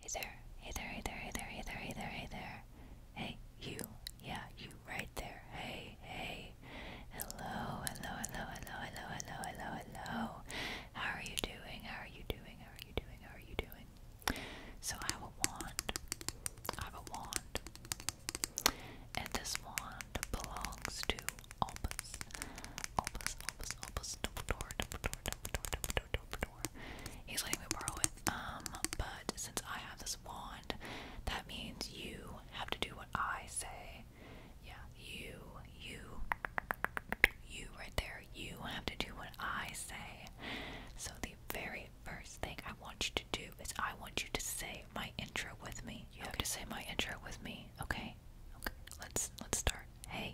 Hey there, hey there, hey there, hey there, hey there, hey there, hey there. Hey, you, yeah, you right there. Hey, hey. Hello, hello, hello, hello, hello, hello, hello, hello. How are you doing? How are you doing? How are you doing? How are you doing? So I have a wand. I have a wand. And this wand belongs to Albus. Albus, Albus, Albus, Dumbledore, Dumbledore, Dumbledore, Dumbledore, He's letting me borrow it. Um, but since I have this wand, that means you have to do what I say. Yeah, you, you, you right there. You have to do what I say. So the very first thing I want you to do is I want you to say my intro with me. You have to say my intro with me. Okay. Okay. Let's let's start. Hey.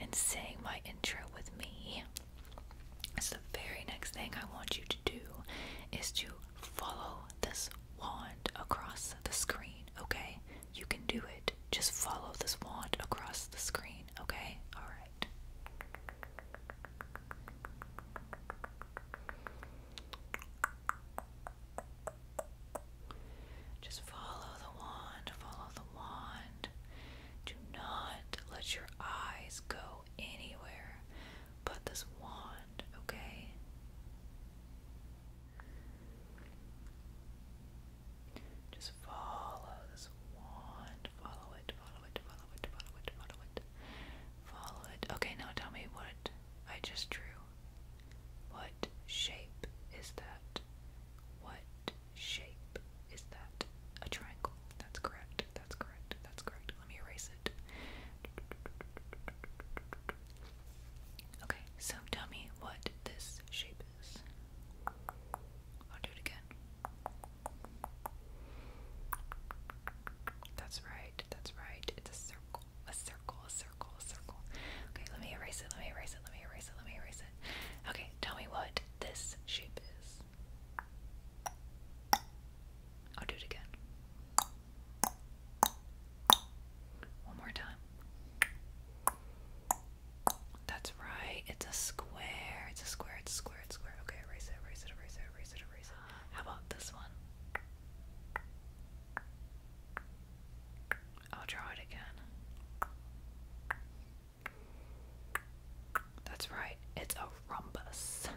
and sang my intro with me. So, the very next thing I want you to do is to follow this wand across the screen, okay? You can do it. Just follow this wand across the screen, okay? Alright. Just follow the wand, follow the wand. Do not let your eyes go anywhere but this wand, okay? Just follow this wand. Follow it, follow it, follow it, follow it, follow it. Follow it. Okay, now tell me what I just drew. What shape is that? What shape is that a triangle? That's correct. That's correct. That's correct. Let me erase it. Okay, so tell me what this shape is. I'll do it again. That's right. That's right. It's a circle. A circle. A circle. circle. Okay, let me erase it. Let me erase it. Let me erase it. Let me erase it. Okay, tell me what this shape is. I'll do it again. One more time. That's right. It's a square. It's a square. It's a square. It's a square. Okay, erase it, erase it, erase it, erase it, erase it. How about this one? I'll draw it again. That's right, it's a rhombus.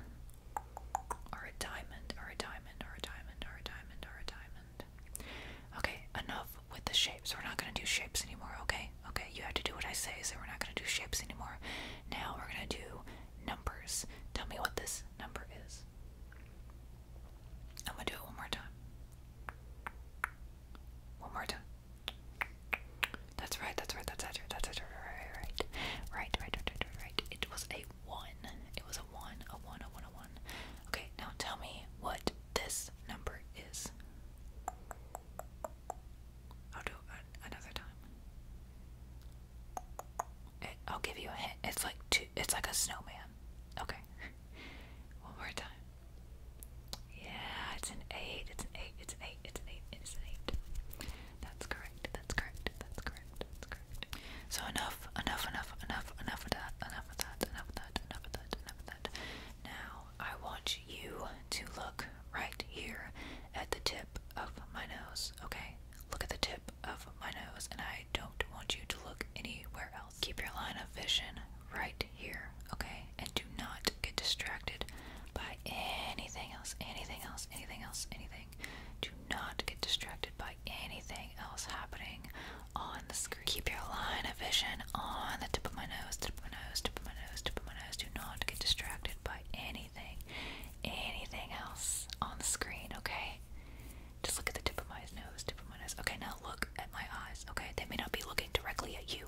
Or a diamond, or a diamond, or a diamond, or a diamond, or a diamond. Okay, enough with the shapes. We're not gonna do shapes anymore, okay? Okay, you have to do what I say, so we're not gonna do shapes anymore. Now we're gonna do numbers. Tell me what this number is. I'm gonna do it one more time. One more time. That's right, that's right, that's right. that's right, right, right, right, right, right, right. It was a one. It was a one, a one, a one, a one. Okay, now tell me what this number is. I'll do another time. I'll give you a hint. It's like two. It's like a snowman. Okay. One more time. Yeah, it's an eight. It's an eight. It's an eight. It's an eight. It's an eight. That's correct. That's correct. That's correct. That's correct. So enough, enough, enough, enough, enough of that. Enough of that. Enough of that. Enough of that. Enough of that. Now I want you to look right here at the tip of my nose. Okay, look at the tip of my nose, and I don't want you to look anywhere else keep your line of vision right here, okay? And do not get distracted by anything else, anything else, anything else, anything. Do not get distracted by anything else happening on the screen. Keep your line of vision on the tip of my nose, tip of my nose, tip of my nose, tip of my nose. Do not get distracted by anything, anything else on the screen, okay? Just look at the tip of my nose, tip of someone is. Okay, now look at my eyes, okay? They may not be looking directly at you,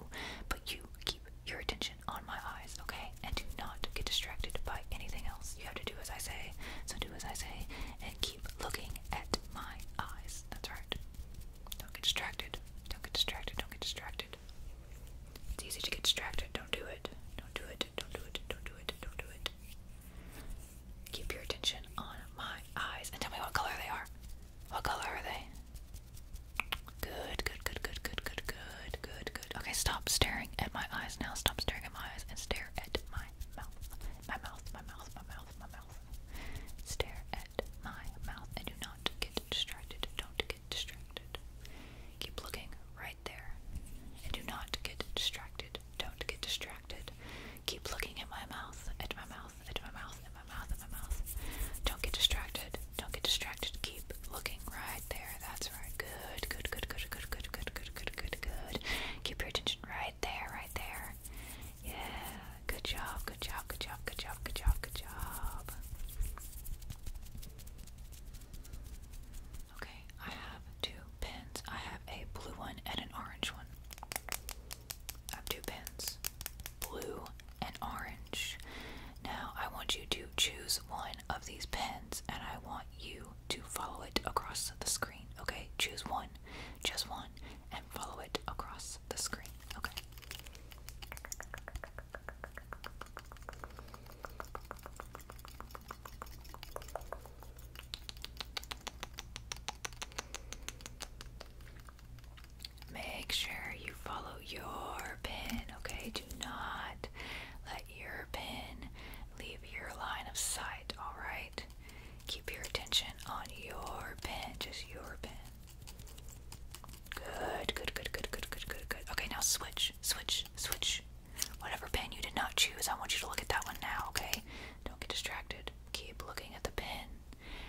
but you keep your attention on my eyes, okay? And do not get distracted by anything else. You have to do as I say, so do as I say, and keep looking at my eyes. That's right. Don't get distracted. Don't get distracted. Don't get distracted. It's easy to get distracted. Don't do it. Don't do it. Don't do it. Don't do it. Don't do it. Keep your attention on my eyes and tell me what color they are. What color are they? Good, good, good, good, good, good, good, good, good. Okay, stop staring at my eyes now. Stop staring at my eyes and stare at my mouth. My mouth, my mouth, my mouth, my mouth. Stare at my mouth and do not get distracted. Don't get distracted. Keep looking right there. And do not get distracted. Don't get distracted. Keep looking at my mouth, at my mouth mouth, my mouth, in my mouth, in my mouth. Don't get distracted. Don't get distracted. Keep looking right there. That's right. Good, good, good, good, good, good, good, good, good, good, good. Keep your attention right there, right there. Yeah. Good job, good job, good job, good job, good job, good job. Okay, I have two pins. I have a blue one and an orange one. I have two pins blue, and orange. Now, I want you to choose one of these pens and I want you to follow it across the screen, okay? Choose one, just one, and follow it across the screen, okay? Make sure you follow your pen. okay? Do not let your pen leave your line of sight, alright? Keep your attention on your pen, just your pen. Good, good, good, good, good, good, good, good. Okay, now switch, switch, switch. Whatever pen you did not choose, I want you to look at that one now, okay? Don't get distracted. Keep looking at the pen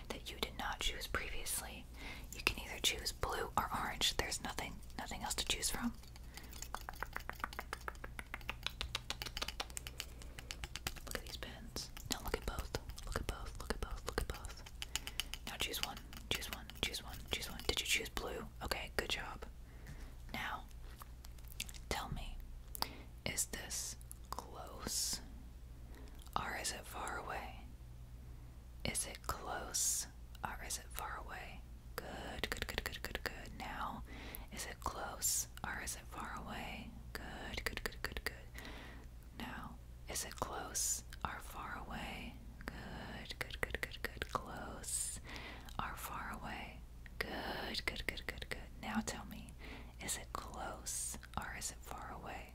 that you did not choose previously. You can either choose blue or orange. There's nothing nothing else to choose from. Look at these pens. Now look at both. Look at both. Look at both. Look at both. Now choose one. Choose one. Choose one. Choose one. Did you choose blue? Okay, good job. Now, tell me, is this close? Or is it far away? Is it close? Or is it far away? Good, good, good, good, good, good. Now, is it close? Or is it far away? Good, good, good, good, good. Now, is it close? Or far away? Good, good, good, good, good. Close. Or far away? Good, good, good, good, good. Now tell me, is it close? Or is it far away?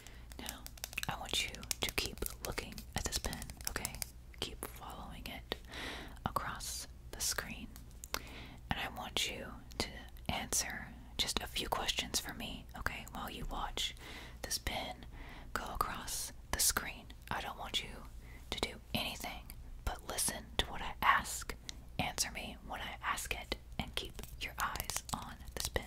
Now, I want you to keep looking at this pen, okay? Keep following it across the screen. And I want you to answer just a few questions for me, okay? While you watch this pen go across the screen. I don't want you to do anything but listen to what I ask. Answer me when I ask it and keep your eyes on this pen.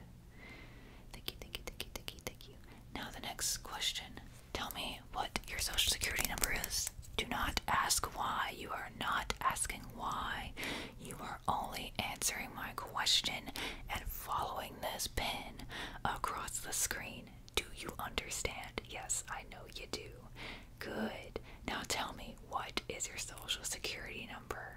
Thank you, thank you, thank you, thank you, thank you. Now, the next question tell me what your social security number is. Do not ask why. You are not asking why. You are only answering my question and following this pin across the screen. Do you understand? Yes, I know you do. Good. Now tell me, what is your social security number?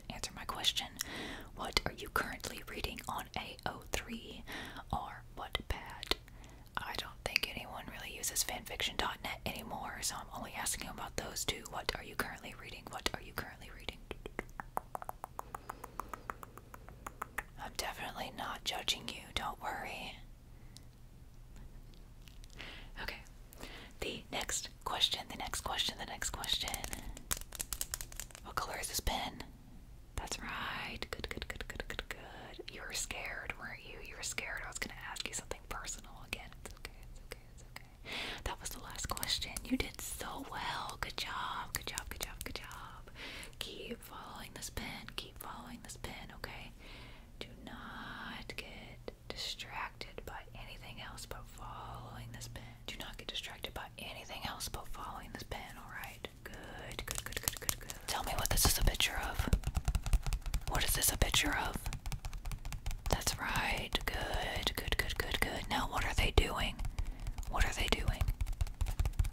answer my question. What are you currently reading on AO3 or what Wattpad? I don't think anyone really uses fanfiction.net anymore, so I'm only asking about those two. What are you currently reading? What are you currently reading? I'm definitely not judging you, don't worry. Okay, the next question, the next question, the next question. What color is this pen? That's right. Good, good, good, good, good, good. You were scared, weren't you? You were scared. I was going to ask you something personal again. It's okay, it's okay, it's okay. That was the last question. You did so well. Good job, good job, good job, good job. Keep following this pen. Keep following this pen, okay? Do not get distracted by anything else but following this pen. Do not get distracted by anything else but following this pen, alright? Good, good, good, good, good, good. Tell me what this is a picture of. What is this a picture of? That's right. Good, good, good, good, good. Now, what are they doing? What are they doing?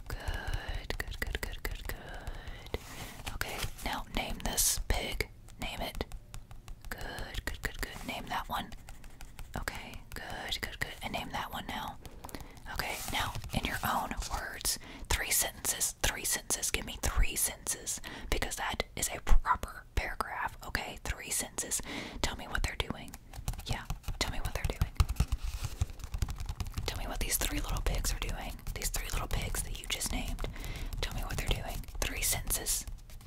Good, good, good, good, good, good. Okay, now name this pig. Name it. Good, good, good, good. Name that one. Okay, good, good, good. And name that one now. Okay, now in your own words, three sentences, three sentences. Give me three sentences because that is a proper paragraph. Okay, three sentences. Tell me what they're doing. Yeah, tell me what they're doing. Tell me what these three little pigs are doing. These three little pigs that you just named. Tell me what they're doing. Three sentences.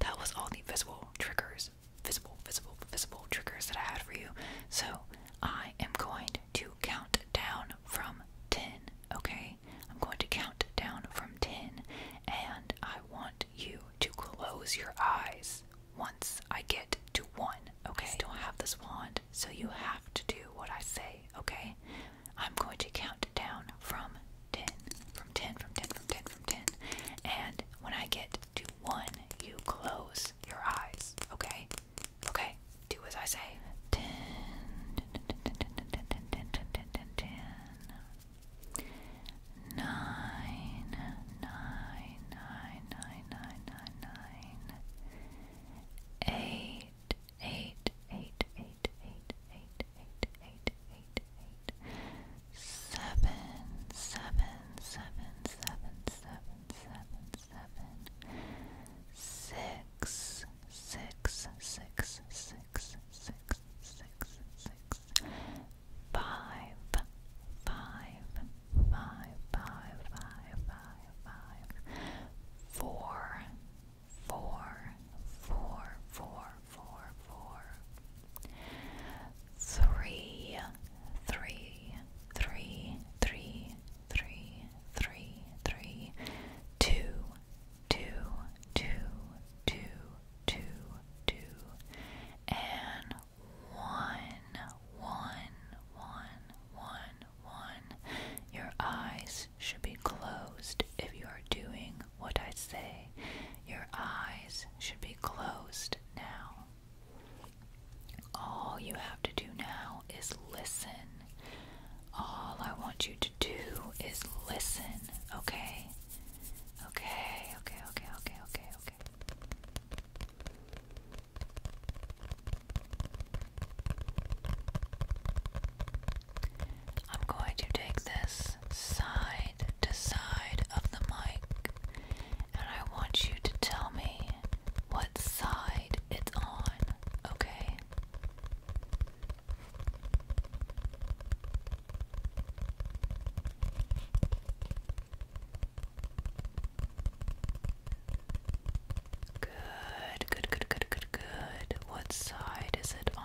that was all the visible triggers, visible, visible, visible triggers that I had for you. So I am going to count down from 10, okay? I'm going to count down from 10, and I want you to close your eyes once I get to 1, okay? I don't have this wand, so you have to do what I say, okay? I'm going to count down from 10 from 10 from 10 from 10 from 10 and when I get to 1 you close your eyes okay okay do as I say 10 10 10 eight, eight, eight, eight, eight, eight, eight, seven, seven, seven, seven, seven, seven, seven, six, six, six, six, six, six, six, five, five, five, five, five, five, five, four, four, four, four, four, four, three, three, three, three, three, three, three, two, two, two, two, two, two, and one, one, one, one, one. Your eyes should be closed if you are doing what I say. Your eyes should be closed now. All you have to do now is listen. All I want you to do is listen, okay? Okay, okay, okay, okay, okay, okay. I'm going to take this side to side of the mic and I want you to tell me what side it's on, okay? Good, good, good, good, good, good. What side is it on?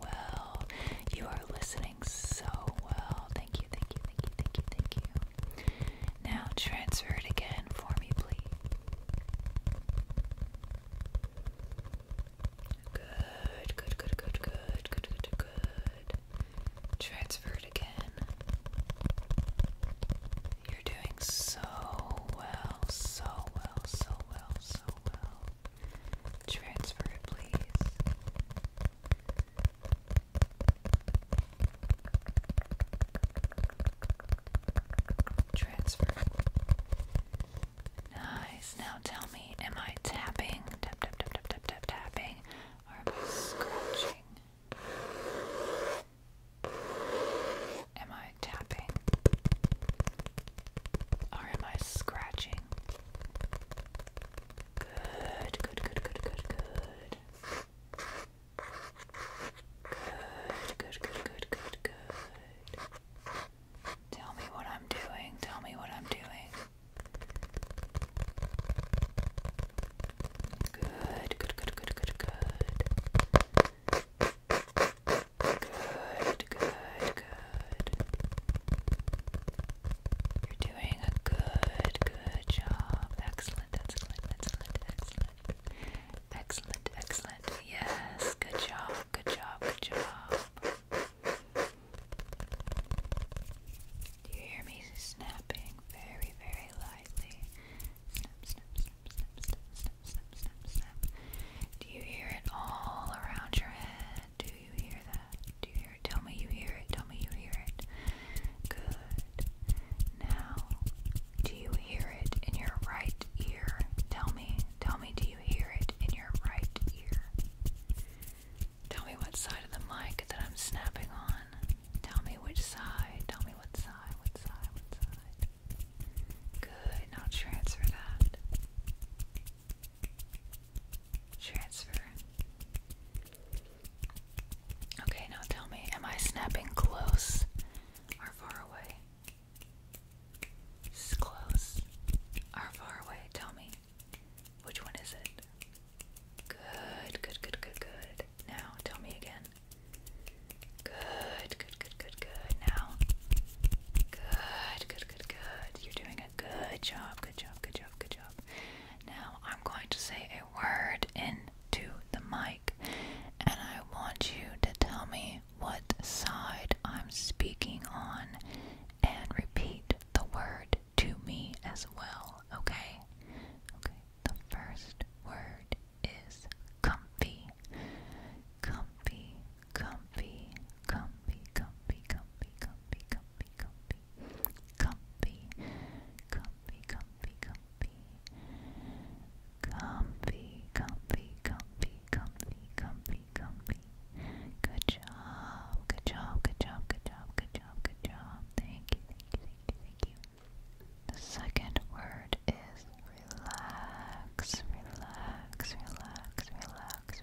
well. You are listening so well. Thank you, thank you, thank you, thank you, thank you. Now transfer it again for me, please. Good, good, good, good, good, good, good, good. Transfer it again. You're doing so well, so well, so well, so well. Transfer it, please. Transfer. Nice. Now tell me, am I tapping? Tap, tap, tap, tapping. Or am I scratching? Am I tapping? Or am I scratching? Good, good, good, good, good, good. Good, good, good, good, good, good. Tell me what I'm doing. Tell me what I'm doing. Good, good, good, good, good, good. Good, good, good. You're doing a good, good job. Excellent, excellent, excellent, excellent. Excellent, excellent. Yes, good job, good job, good job. Do you hear me snapping very, very lightly? Snap, snap, snap, snap, snap, snap, snap, snap, Do you hear it all around your head? Do you hear that? Do you hear it? Tell me you hear it. Tell me you hear it. Good. Now, do you hear it in your right ear? Tell me. Tell me, do you hear it in your right ear? Tell me what side of the mic that I'm snapping on. Tell me which side. Tell me what side, what side, what side. Good. Now transfer that. Transfer. Okay, now tell me, am I snapping close or far away? close or far away? Tell me. Which one is it? Good, good, good, good, good. Now tell me again. Good, good, good, good, good. Now. Good, good, good, good. You're doing good job, good job, good job, good job. Now I'm going to say a word into the mic, and I want you to tell me what side I'm speaking on and repeat the word to me as well, okay? Okay, the first word is comfy. Comfy, comfy, comfy, comfy, comfy, comfy, comfy, comfy, comfy, comfy, comfy, comfy, comfy, comfy, comfy, comfy, comfy, comfy. Good job, good job, good job, good job, good job, good job. Thank you, thank you, thank you, The second word is relax, relax, relax, relax,